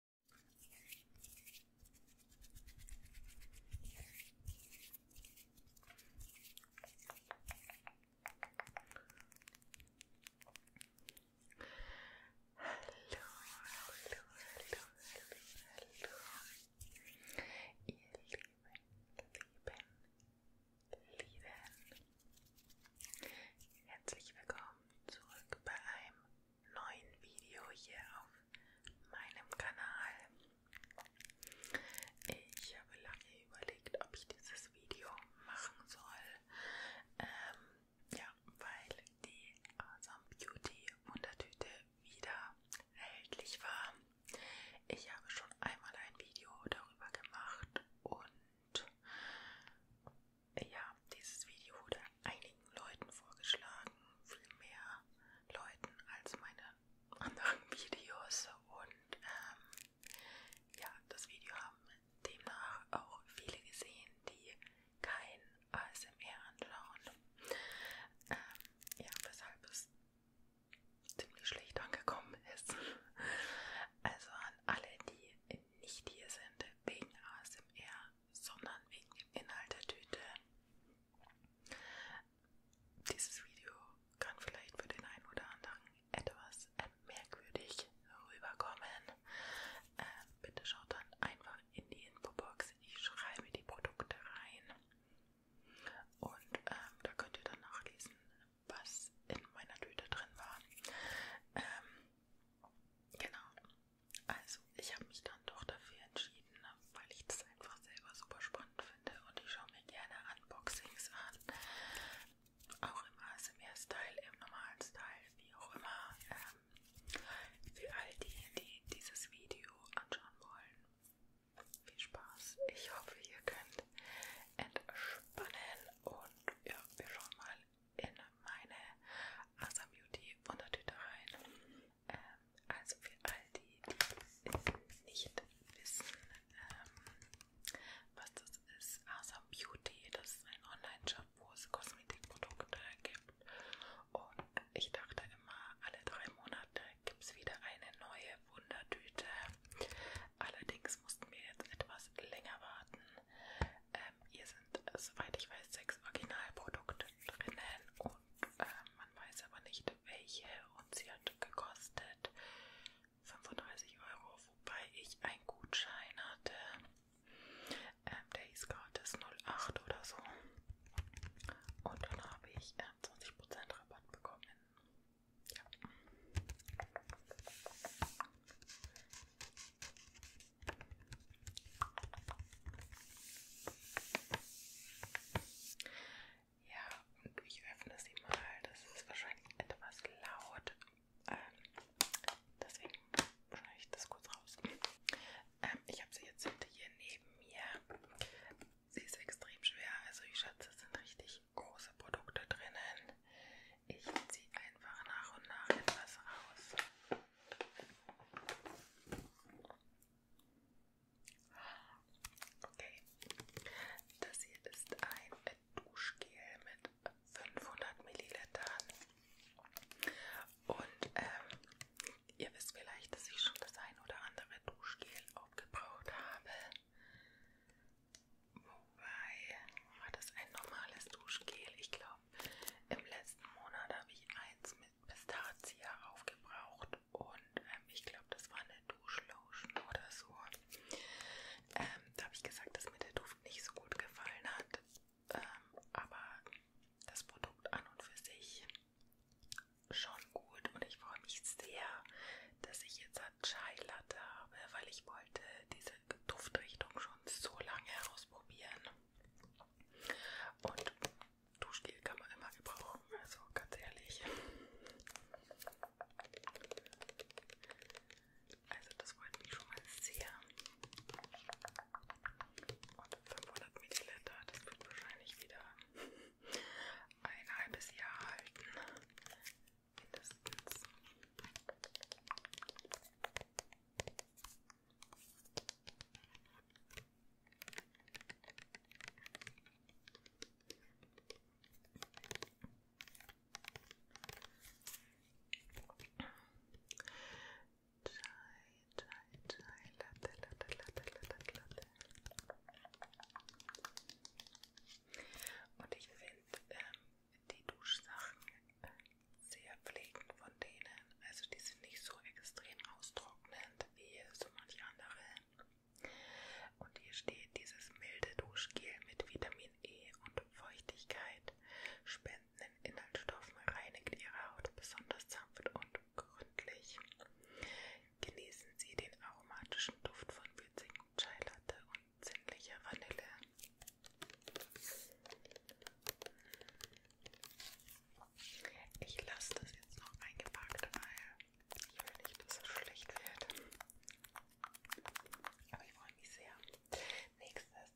Hallo, hallo, hallo, hallo, hallo, ihr lieben, lieben, lieben. Herzlich willkommen zurück bei einem neuen Video hier auf meinem Kanal. Ich habe lange überlegt, ob ich dieses Video machen soll. Ähm, ja, weil die Awesome Beauty Wundertüte wieder erhältlich war. Ich habe schon einmal ein Video darüber gemacht und ja, dieses Video wurde einigen Leuten vorgeschlagen, viel mehr Leuten als meine anderen Videos und ähm, ja, das Video haben demnach auch viele gesehen, die kein ASMR anschauen. Ähm, ja, weshalb es ziemlich schlecht angekommen ist. Also an alle, die nicht hier sind wegen ASMR, sondern wegen dem Inhalt der Tüte. Dieses Video kann vielleicht für den einen oder anderen etwas äh, merkwürdig rüberkommen. Äh, bitte schaut dann einfach in die Infobox. Ich schreibe die Produkte rein. Und ähm, da könnt ihr dann nachlesen, was in meiner Tüte drin war. Ähm, genau. Also, ich habe mich dann doch dafür entschieden, ne, weil ich das einfach selber super spannend finde und ich schaue mir gerne Unboxings an. Auch im ASMR-Style, im normalen Style, wie auch immer. Ähm, für all die, die dieses Video anschauen wollen. Viel Spaß. Ich hoffe, ihr könnt entspannen und ja, wir schauen mal, in meine Asa Beauty Wundertüte rein. Ähm, also für all die, die nicht wissen, ähm, was das ist, Asa Beauty, das ist ein Online-Shop, wo es Kosmetikprodukte gibt. Und ich dachte immer, alle drei Monate gibt es wieder eine neue Wundertüte. Allerdings mussten wir jetzt etwas länger warten. Ähm, ihr sind, äh, soweit ich weiß, sechs Originalprodukte drinnen und äh, man weiß aber nicht welche und sie hat gekostet 35 Euro, wobei ich einen Gutschein hatte, ähm, der hieß gratis 08 oder so und dann habe ich äh, 20% Rabatt bekommen. Ja. Ja, und ich öffne sie mal. Das ist wahrscheinlich etwas laut. Ähm, deswegen schneide ich das kurz raus. Ähm, ich habe sie jetzt hier neben mir. Sie ist extrem schwer. Also ich schätze, es sind richtig große Produkte drinnen. Ich ziehe einfach nach und nach etwas raus. Okay, das hier ist ein Duschgel mit 500 Millilitern. Und ähm, ihr wisst vielleicht, dass ich schon das ein oder andere Duschgel aufgebraucht habe. Wobei, war das ein normales Duschgel? Ich glaube habe. Im letzten Monat habe ich eins mit Pistazie aufgebraucht und ähm, ich glaube, das war eine Duschlotion oder so. Ähm, da habe ich gesagt, dass mir der Duft nicht so gut gefallen hat, ähm, aber das Produkt an und für sich schon gut und ich freue mich sehr, dass ich jetzt Chai Latte habe, weil ich wollte diese Duftrichtung schon schon so lange ausprobieren. Und Duschgel kann man immer gebrauchen, also ganz ehrlich. Also das freut mich schon mal sehr. Und 500 Milliliter, das wird wahrscheinlich wieder ein halbes Jahr halten. Mindestens. Latte, Latte, Latte, Latte, Latte. Und ich finde ähm, die Duschsachen äh, sehr pflegend von denen. Also die sind nicht so extrem austrocknend wie so manche anderen. Und hier steht, dieses milde Duschgel mit Vitamin E und Feuchtigkeit spendenden Inhaltsstoffen reinigt Ihre Haut besonders sanft und gründlich. Genießen Sie den aromatischen Duft von würzigen Chai Latte und Zinnliche Vanille. Ich lasse das jetzt noch eingepackt, weil ich will nicht, dass es schlecht wird. Aber ich freue mich sehr. Nächstes.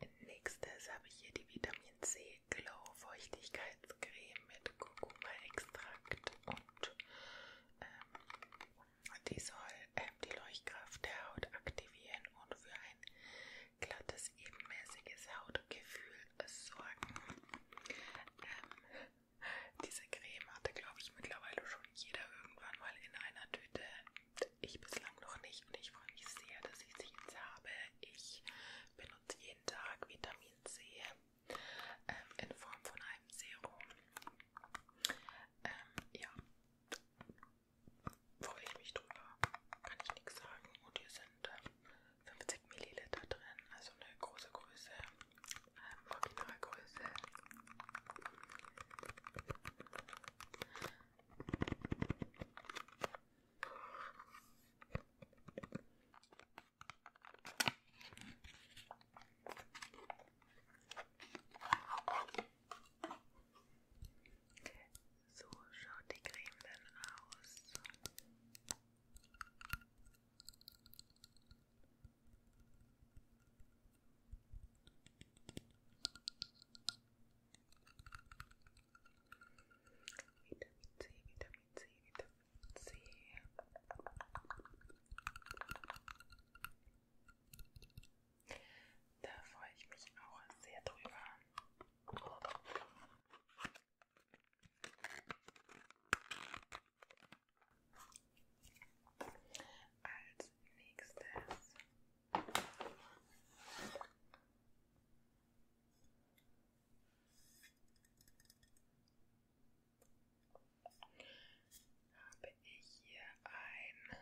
Als nächstes habe ich hier die Vitamin C Glow Feuchtigkeitscreme mit Kurkuma-Extrakt und ähm, die soll ähm, die Leuchtkraft der Haut aktivieren und für ein glattes, ebenmäßiges Hautgefühl sorgen. Ähm, diese Creme hatte, glaube ich, mittlerweile schon jeder irgendwann mal in einer Tüte. Ich bislang noch nicht und ich freue mich sehr, dass ich sie jetzt habe. Ich benutze jeden Tag Vitamin C ähm, in Form von einem Serum. Ähm, ja, freue ich mich drüber, kann ich nichts sagen. Und hier sind äh, 50 Milliliter drin, also eine große Größe, ähm, Originalgröße. So schaut die Creme dann aus. Vitamin C, Vitamin C, Vitamin Let's see. Da freue ich mich auch sehr drüber. Als nächstes habe ich hier ein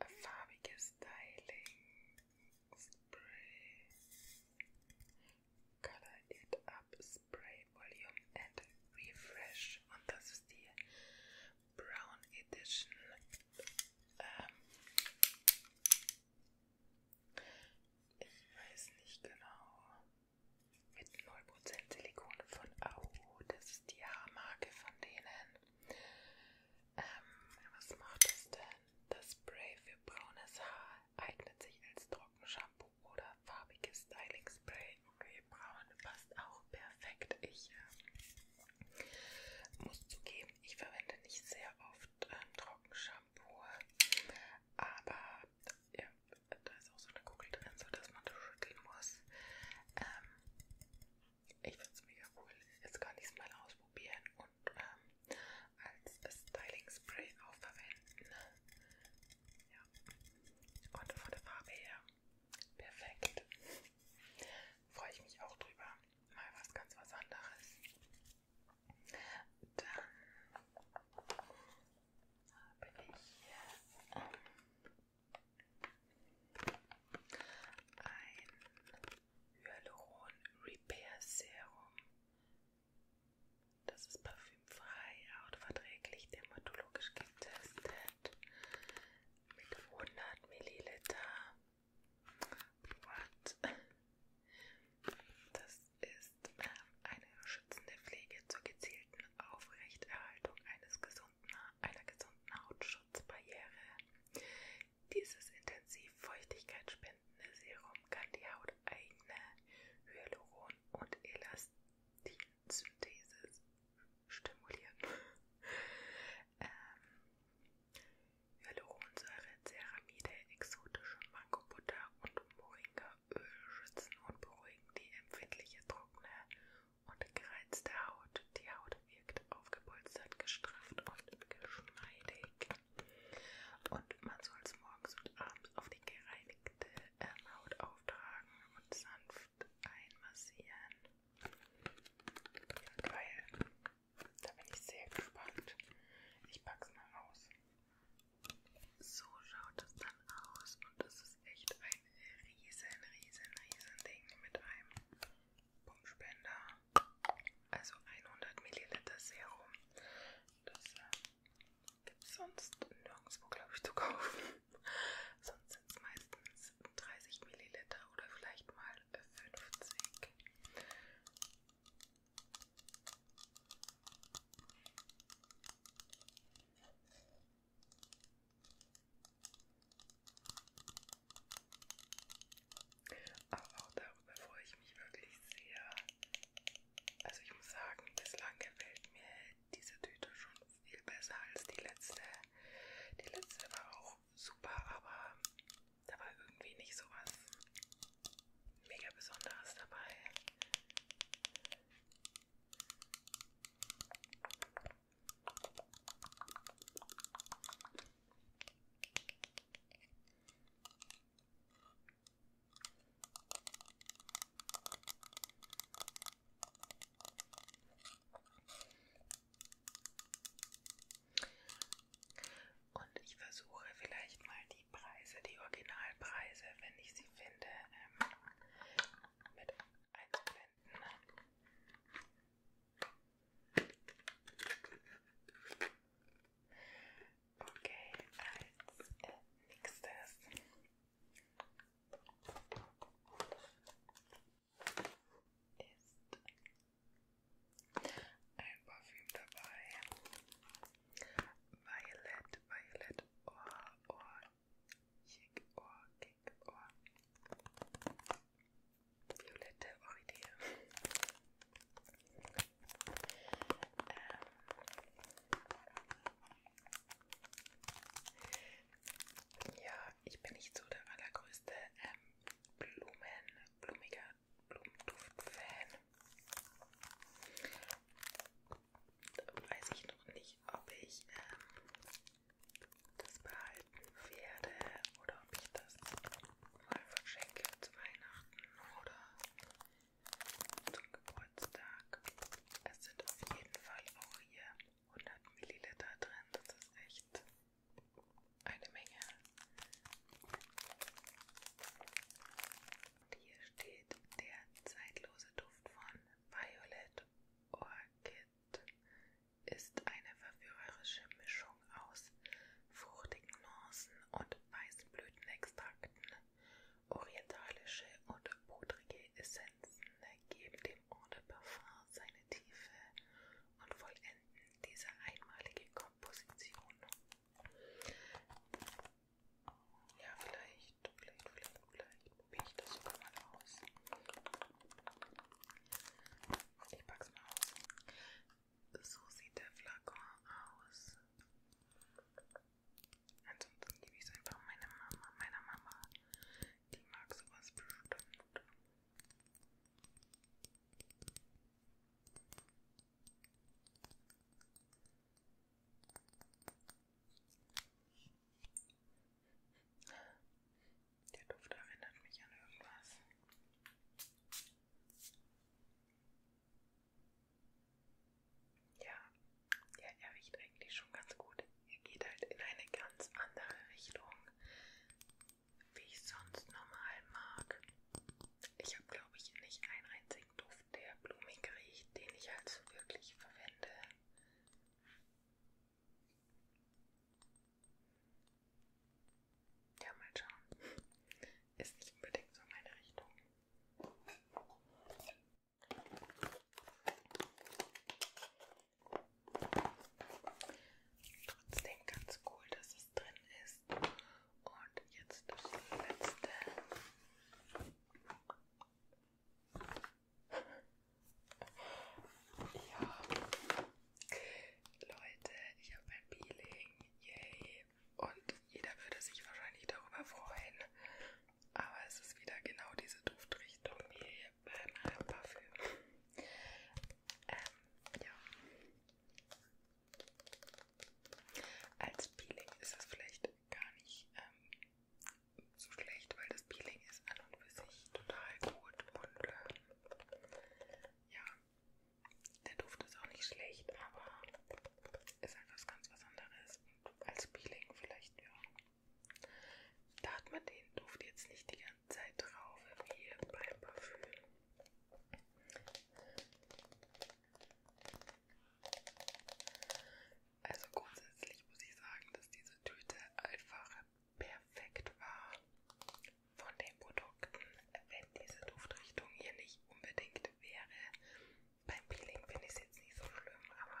farbiges Styling Spray Color It Up Spray Volume and Refresh und das ist die Brown Edition ähm, ich weiß nicht genau. Mit 0% Silikon von AU. Das ist die Haarmarke von denen. Ähm, was macht das denn? Das Spray für braunes Haar eignet sich als Trockenshampoo oder farbiges Styling-Spray. Okay, braun passt auch perfekt. Ich äh, muss zugeben, ich verwende nicht sehr oft ähm, Trockenshampoo, aber ja, da ist auch so eine Kugel drin, sodass man das schütteln muss. Ähm, ich finde es mega cool. Jetzt kann ich es mal ausprobieren und ähm, als Styling Spray auch verwenden. Ja. Und von der Farbe her perfekt. Freue ich mich auch drüber mal was ganz was anderes. Dann habe ich hier ähm, ein Hyaluron Repair Serum. Das ist parfümfrei, hautverträglich, dermatologisch getestet mit 100 Milliliter What? Das ist eine schützende Pflege zur gezielten Aufrechterhaltung eines gesunden, einer gesunden Hautschutzbarriere. Dieses intensiv feuchtigkeitsspendende Serum kann die Haut eigene Hyaluron- und Elastinsynthese stimulieren. ähm, Hyaluronsäure, Ceramide, exotische Mangobutter und Moringaöl schützen und beruhigen die empfindliche, trockene und gereizte Haut. Die Haut wirkt aufgepolstert, gestrafft und geschmeidig. Und man soll es morgens und abends auf die gereinigte ähm, Haut auftragen und sanft einmassieren. Weil da bin ich sehr gespannt. Ich pack's mal aus. So schaut das dann aus und das ist echt ein riesen, riesen, riesen Ding mit einem Pumpspender. Also 100 Milliliter Serum. Das äh, gibt's sonst nirgendwo, glaube ich, zu kaufen. sonst sind es meistens 30 Milliliter oder vielleicht mal 50. Aber auch darüber freue ich mich wirklich sehr. Also ich muss sagen, bislang gefällt mir diese Tüte schon viel besser als die letzte. Die letzte war auch super, aber da war irgendwie nicht so was mega Besonderes dabei. Und ich versuche vielleicht mal die Preise, die Originalpreise, wenn ich sie finde, ähm, mit einzublenden. Okay, als äh, nächstes ist ein Parfüm dabei. Violet, Violet, Ohr, Ohr, Chic, Ohr, Kick, Ohr. Violette Orchidee. ähm ja, ich bin nicht so der allergrößte ähm, Blumen, blumiger Blumenduft-Fan. Weiß ich noch nicht, ob ich ähm, das behalten werde oder ob ich das mal verschenke zu Weihnachten oder zum Geburtstag. Es sind auf jeden Fall auch hier 100 Milliliter drin, das ist echt eine Menge. Und hier steht der zeitlose Duft von Violet Orchid. Ist eine verführerische Mischung aus fruchtigen Nuancen und weißen Blütenextrakten. Orientalische und pudrige Essenzen geben dem Eau de Parfum seine tiefe und vollenden diese einmalige Komposition. Ja, vielleicht, vielleicht, vielleicht, vielleicht probiere ich das sogar mal aus. Ich pack's mal aus. So sieht der Flakon aus. Ansonsten gebe ich es einfach meiner Mama. Meiner Mama, die mag sowas bestimmt. Der Duft erinnert mich an irgendwas. Ja, ja, er riecht eigentlich schon ganz gut. Ihr geht halt in eine ganz andere Richtung, wie ich sonst normal mag. Ich habe, glaube ich, nicht einen einzigen Duft, der blumig riecht, den ich halt so wirklich verwende. Ja, mal schauen. Ist nicht unbedingt so meine Richtung. Trotzdem ganz cool, dass es drin ist. Und jetzt das letzte. Ja, Leute, ich habe ein Peeling, yay! Und jeder würde sich wahrscheinlich darüber freuen. Aber es ist wieder genau diese Duftrichtung, yay! beim Haarparfüm. Ähm, ja. Als Peeling ist das vielleicht gar nicht ähm, so schlecht, weil das Peeling ist an und für sich total gut und ähm, ja, der Duft ist auch nicht schlecht, aber ist etwas halt ganz was anderes. Und als Peeling vielleicht, ja. Da hat man den Duft jetzt nicht die ganze ganze Zeit drauf wie beim Parfüm. Also grundsätzlich muss ich sagen, dass diese Tüte einfach perfekt war von den Produkten. Wenn diese Duftrichtung hier nicht unbedingt wäre, beim Peeling finde ich es jetzt nicht so schlimm, aber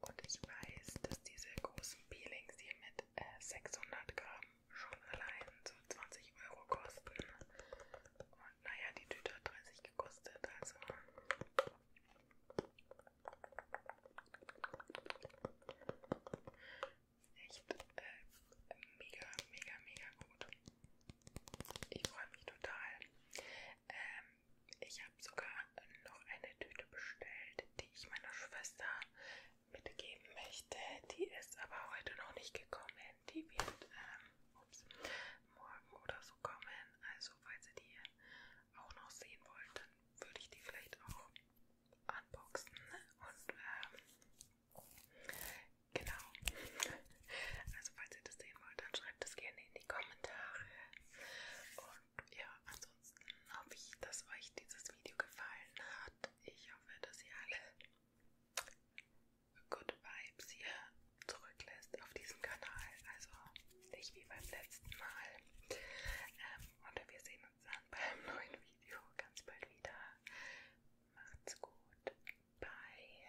Und ich weiß, dass diese großen Peelings hier mit äh, 600 Gramm schon allein so 20 Euro kosten. Und naja, die Tüte hat 30 gekostet, also. Echt äh, mega, mega, mega gut. Ich freue mich total. Ähm, ich habe sogar noch eine Tüte bestellt, die ich meiner Schwester mitgeben möchte. Die ist aber heute noch nicht gekommen. Die wird ähm, ups, morgen oder so kommen. Also falls ihr die auch noch sehen wollt, dann würde ich die vielleicht auch unboxen. Und ähm, genau. Also falls ihr das sehen wollt, dann schreibt es gerne in die Kommentare. Und und ja, ansonsten hoffe ich, dass euch dieses Video gefallen hat. Ich hoffe, dass ihr alle gute Vibes hier zurücklässt auf diesem Kanal. Also nicht wie beim letzten Mal. Ähm, und wir sehen uns dann beim neuen Video ganz bald wieder. Macht's gut. Bye.